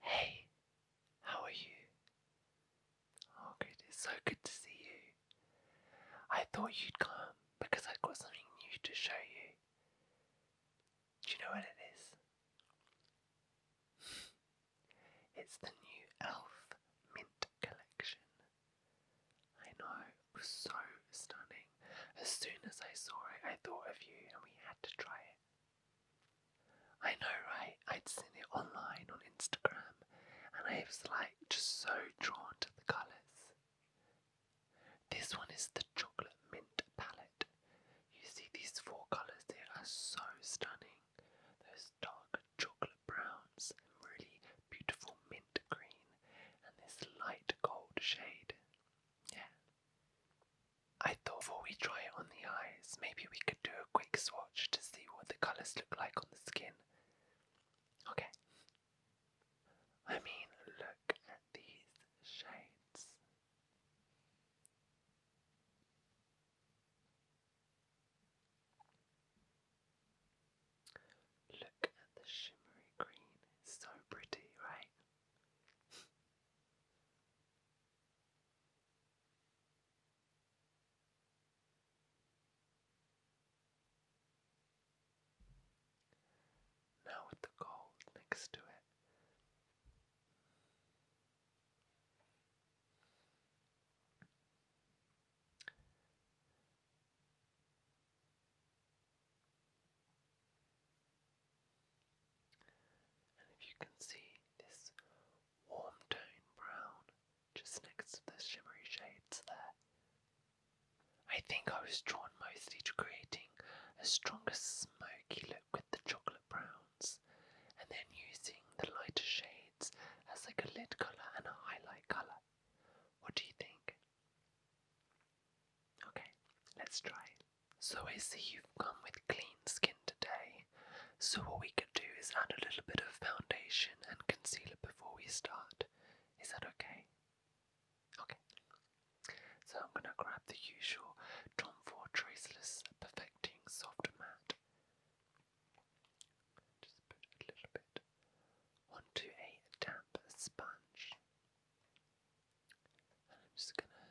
Hey, how are you? Oh, good. It's so good to see you. I thought you'd come because I've got something new to show you. Do you know what it is? it's the new Elf Mint Collection. I know, so stunning. As soon as I saw it, I thought of you and we had to try it. I know, right? I'd seen it online on Instagram and I was like just so drawn to the colours. This one is the chocolate mint palette. You see, these four colours they are so stunning. Those dark chocolate browns, really beautiful mint green, and this light gold shade. Yeah. I thought before we try it on the eyes, maybe we could do a quick swatch to see what the colours look like on the skin. Okay. I mean, look at these shades. Look at the shimmery green, so pretty, right? Now with the gold next to it. And if you can see this warm tone brown just next to the shimmery shades there, I think I was drawn mostly to creating a stronger smoky look with the chocolate browns and then using the lighter shades as like a lid colour and a highlight colour. What do you think? Okay, let's try. So I see you've come with clean skin today. So what we could do is add a little bit of foundation and concealer before we start. Is that okay? Okay. So I'm gonna grab the usual Tom Ford Traceless Perfecting Soft Matte. Just put a little bit onto a damp sponge. And I'm just gonna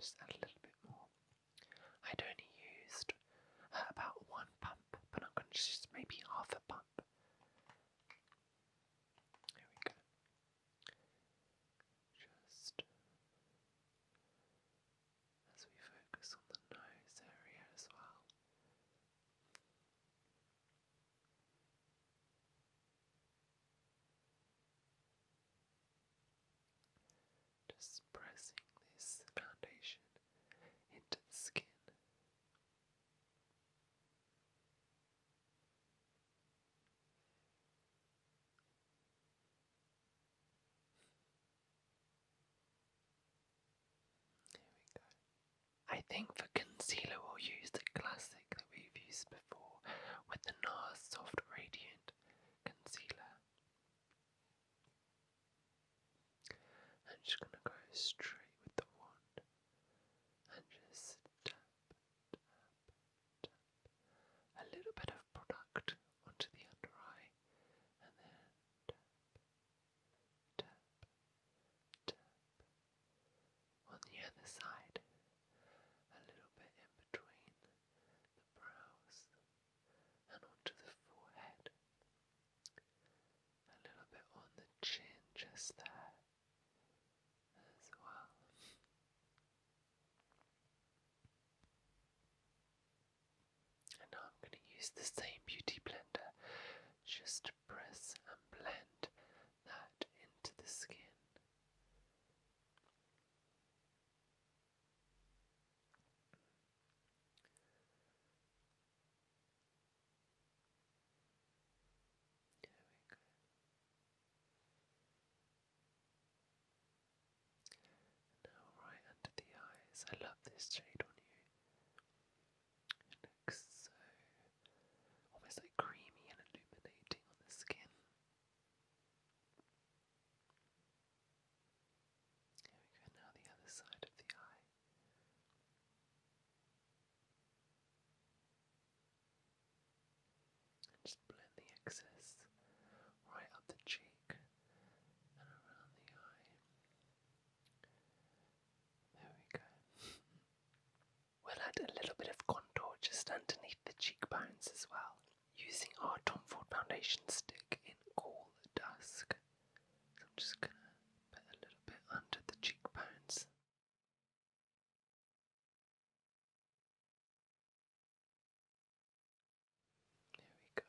Just add a little bit more. I'd only used uh, about one pump, but I'm going to just maybe half a pump. There we go. Just as we focus on the nose area as well. Just pressing this foundation into the skin. Here we go. I think for concealer we'll use the classic that we've used before with the NARS Soft Radiant Concealer. I'm just going to go straight with the wand and just tap, tap, tap a little bit of product onto the under eye and then tap, tap. On the other side, a little bit in between the brows and onto the forehead. A little bit on the chin, just there as well. And now I'm going to use the same beauty blender just press and blend that into the skin. Now, right under the eyes, I love this shade on you looks so almost like creamy and illuminating on the skin. Here we go now, the other side of the eye. And just blend the excess right up the cheek and around the eye. There we go. we'll add a little bit of contour just underneath the cheekbones as well, using our Tom Ford foundation stick in Cool Dusk. So I'm just going to put a little bit under the cheekbones. There we go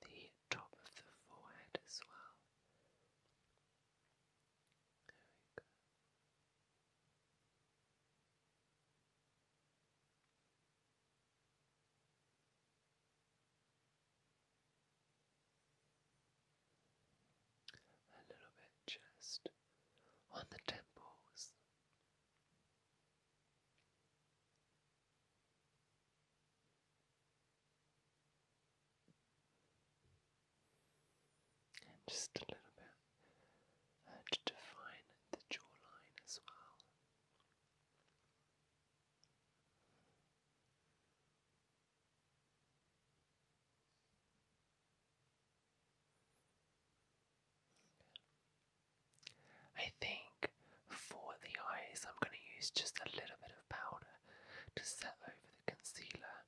the top of the forehead as well. There we go. A little bit just on the temples. And just a little bit to define the jawline as well. I think for the eyes, I'm going to use just a little bit of powder to set over the concealer.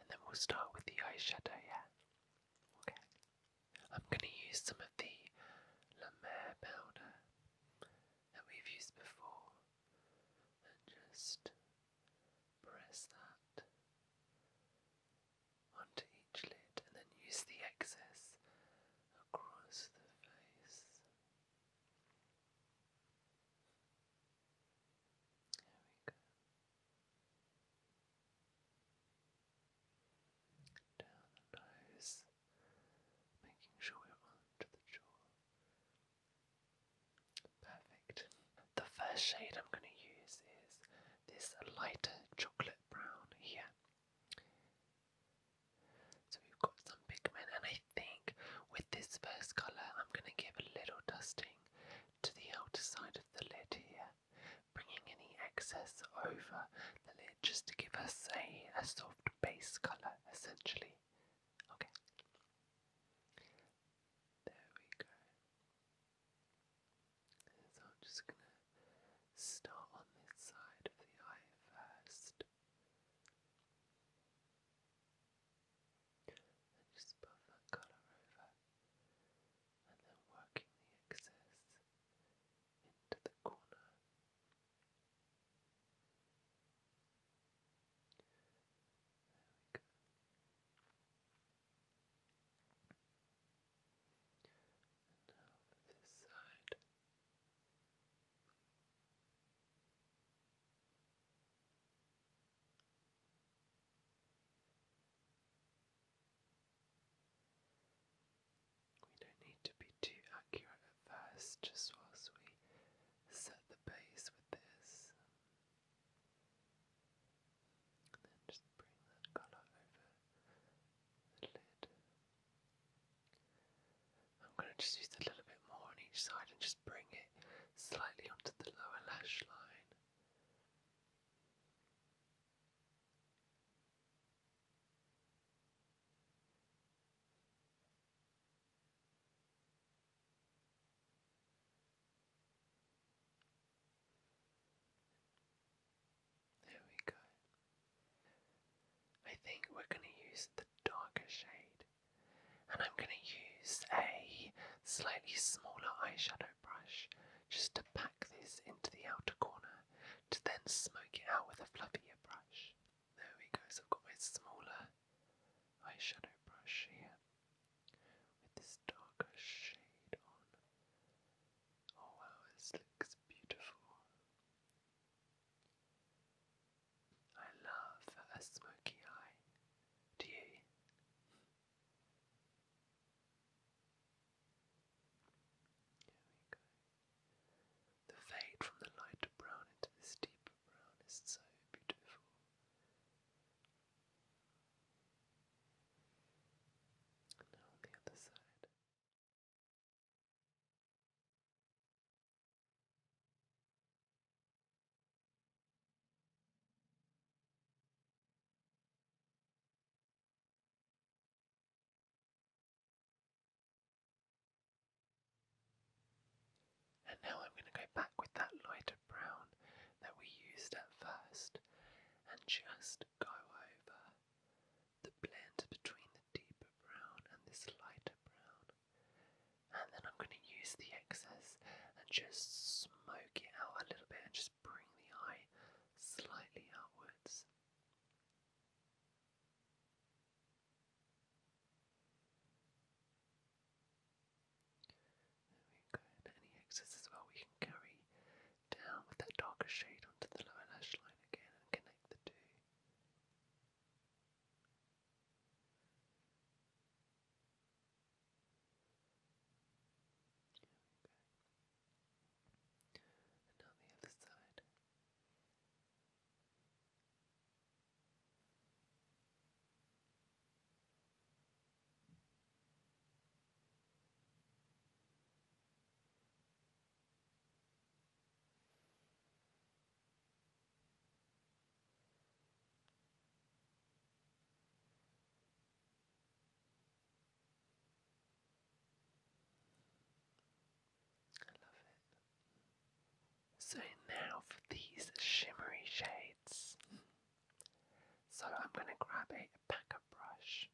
And then we'll start with the eyeshadow, yeah? Okay. I'm going to use some of the La Mer powder that we've used before and just press that onto each lid and then use the excess across the face. There we go. Down the nose, making sure we're onto the jaw. Perfect. The first shade I'm going to use is this lighter chocolate brown here. So we've got some pigment, and I think with this first colour, I'm going to give a little dusting to the outer side of the lid here, bringing any excess over the lid just to give us a, a soft base colour essentially. Okay. There we go. So I'm just gonna Start on this side of the eye first. And just put that colour over. And then working the excess into the corner. now this side. We don't need to be too accurate at first, just whilst we set the base with this. And then just bring that colour over the lid. I'm going to just use a little bit more on each side and just bring it slightly onto the lower lash line. There we go. I think we're going to use the darker shade, and I'm going to use a slightly smaller eyeshadow brush just to pack this into the outer corner to then smoke it out with a fluffier brush. There we go, so I've got my smaller eyeshadow brush here with this darker shade on. Oh wow, this looks beautiful. I love a smoky eye. Do The fade from the lighter brown into this deeper brown is so beautiful. now on the other side. And now I'm going to go back with that lighter brown that we used at first and just go over the blend between the deeper brown and this lighter brown. And then I'm going to use the excess and just smoke it out a little bit and just bring the eye slightly outwards. we go. any excess as well we can carry down with that darker shade onto the lower lash line again and connect the two. And now the other side. I love it. So now for these shimmery shades. So I'm going to grab a packer brush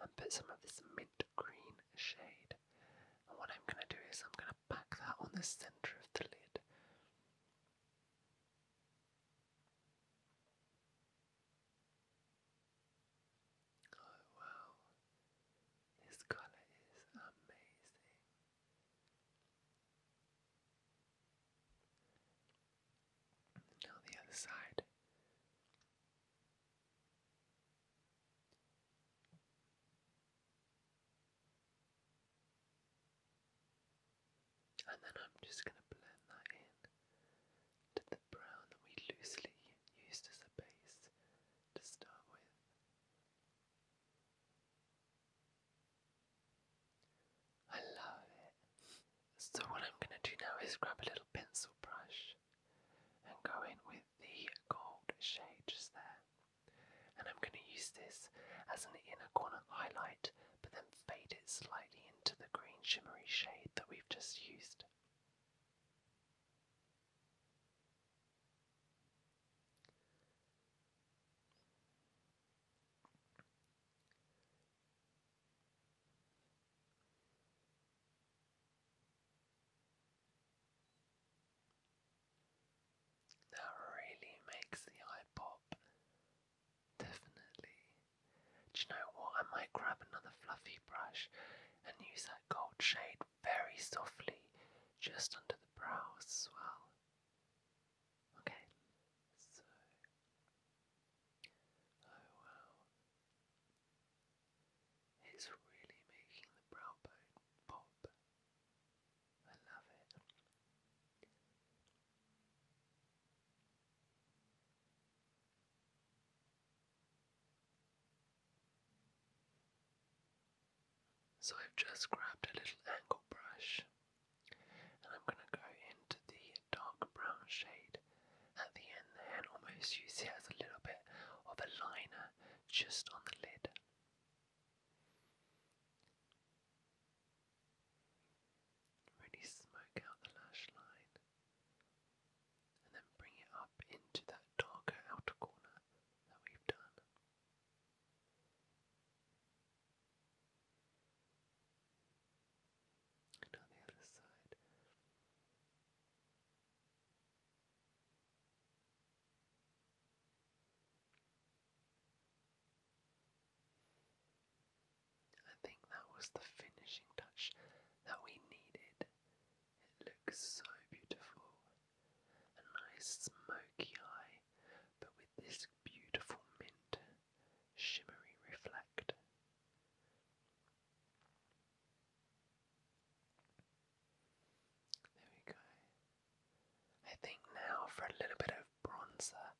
and put some of this mint green shade. And what I'm going to do is I'm going to pack that on the centre of the lid. Oh wow, this colour is amazing. Now the other side. And then I'm just going to blend that in to the brown that we loosely used as a base to start with. I love it. So, what I'm going to do now is grab a little pencil brush and go in with the gold shade just there. And I'm going to use this as an inner corner highlight, but then fade it slightly into the green shimmery shade that we've just used. That really makes the eye pop. Definitely. Do you know what? I might grab another fluffy brush and use that gold shade very softly just under the brows as well. Okay, so. Oh wow. It's really making the brow bone pop. I love it. So I've just grabbed a little angle brush and I'm going to go into the dark brown shade at the end, the almost used it as a little bit of a liner just on the lid. Really smoke out the lash line and then bring it up into that darker outer corner that we've done. And on the other side, I think that was the finishing touch that we needed. It looks so beautiful. A nice smoky eye, but with this beautiful mint shimmery reflect. There we go. I think now for a little bit of bronzer,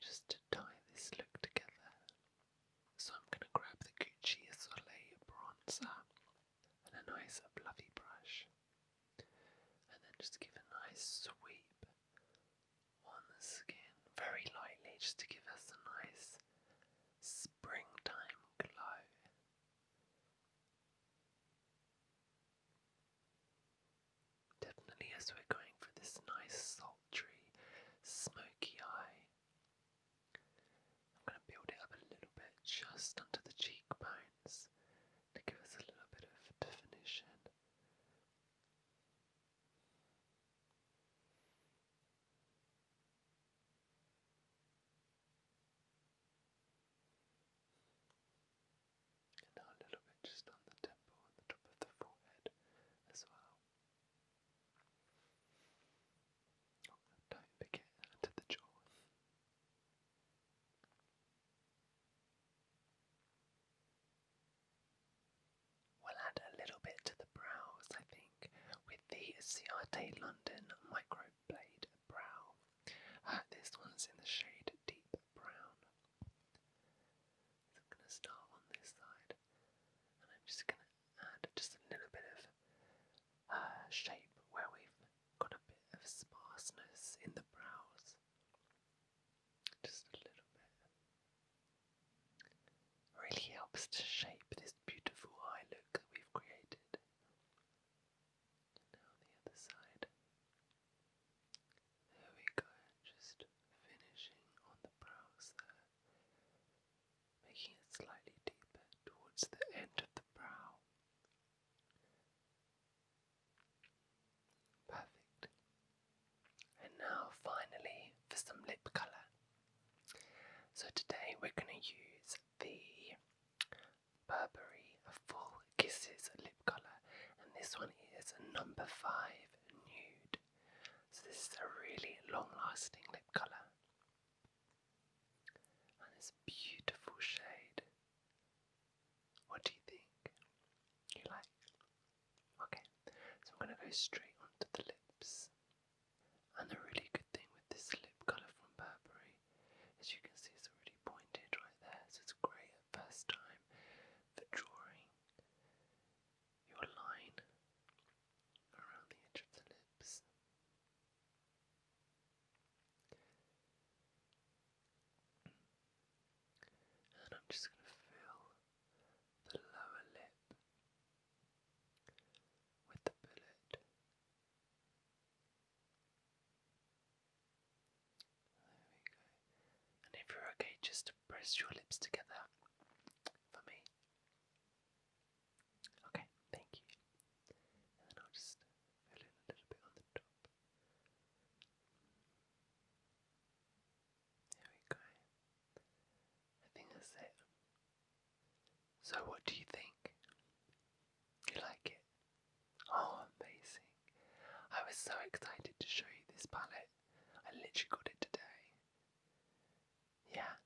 just to tie this look together. So I'm going to grab the Gucci Soleil bronzer and a nice fluffy brush, and then just give a nice sweep on the skin very lightly just to give us a nice springtime glow. Definitely, as we're going for this nice, sultry, smoky eye, I'm going to build it up a little bit just under the cheekbones to give us a little bit of definition. And now a little bit just on the temple and the top of the forehead as well. don't forget to the jaw. We'll add a little bit to the brows, I think, with the Ciate London Microblade Brow. Uh, this one's in the shade Deep Brown. So I'm going to start on this side, and I'm just going to add just a little bit of uh, shape where we've got a bit of sparseness in the brows just a little bit. Really helps to shape this beautiful eye look that we've created. now the other side. There we go, just finishing on the brows there, making it slightly deeper towards the end of the brow. Perfect. And now, finally, for some lip colour. So, today we're going to use the Burberry Full Kisses lip colour, and this one is number five nude. So, this is a really long lasting lip colour, and it's a beautiful shade. What do you think? You like? Okay, so I'm going to go straight onto the lips. And the really good thing with this lip colour from Burberry is you can see it's already pointed right there, so it's great at first time for drawing your line around the edge of the lips. And I'm just going to fill the lower lip with the bullet. There we go. And if you're okay, just press your lips together for me. Okay, thank you. And then I'll just fill in a little bit on the top. There we go. I think that's it. So, what do you think? You like it? Oh, amazing. I was so excited to show you this palette. I literally got it today. Yeah.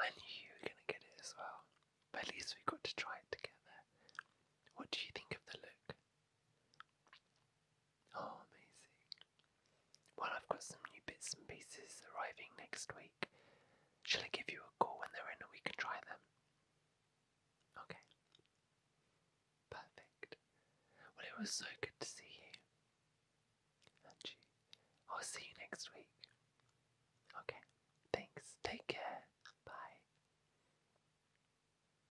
I knew you were going to get it as well. But at least we got to try it together. What do you think of the look? Oh, amazing. Well, I've got some new bits and pieces arriving next week. Shall I give you a call when they're in and we can try them? Okay. Perfect. Well, it was so good to see you. And will see you next week. Okay. Thanks. Take care. Bye.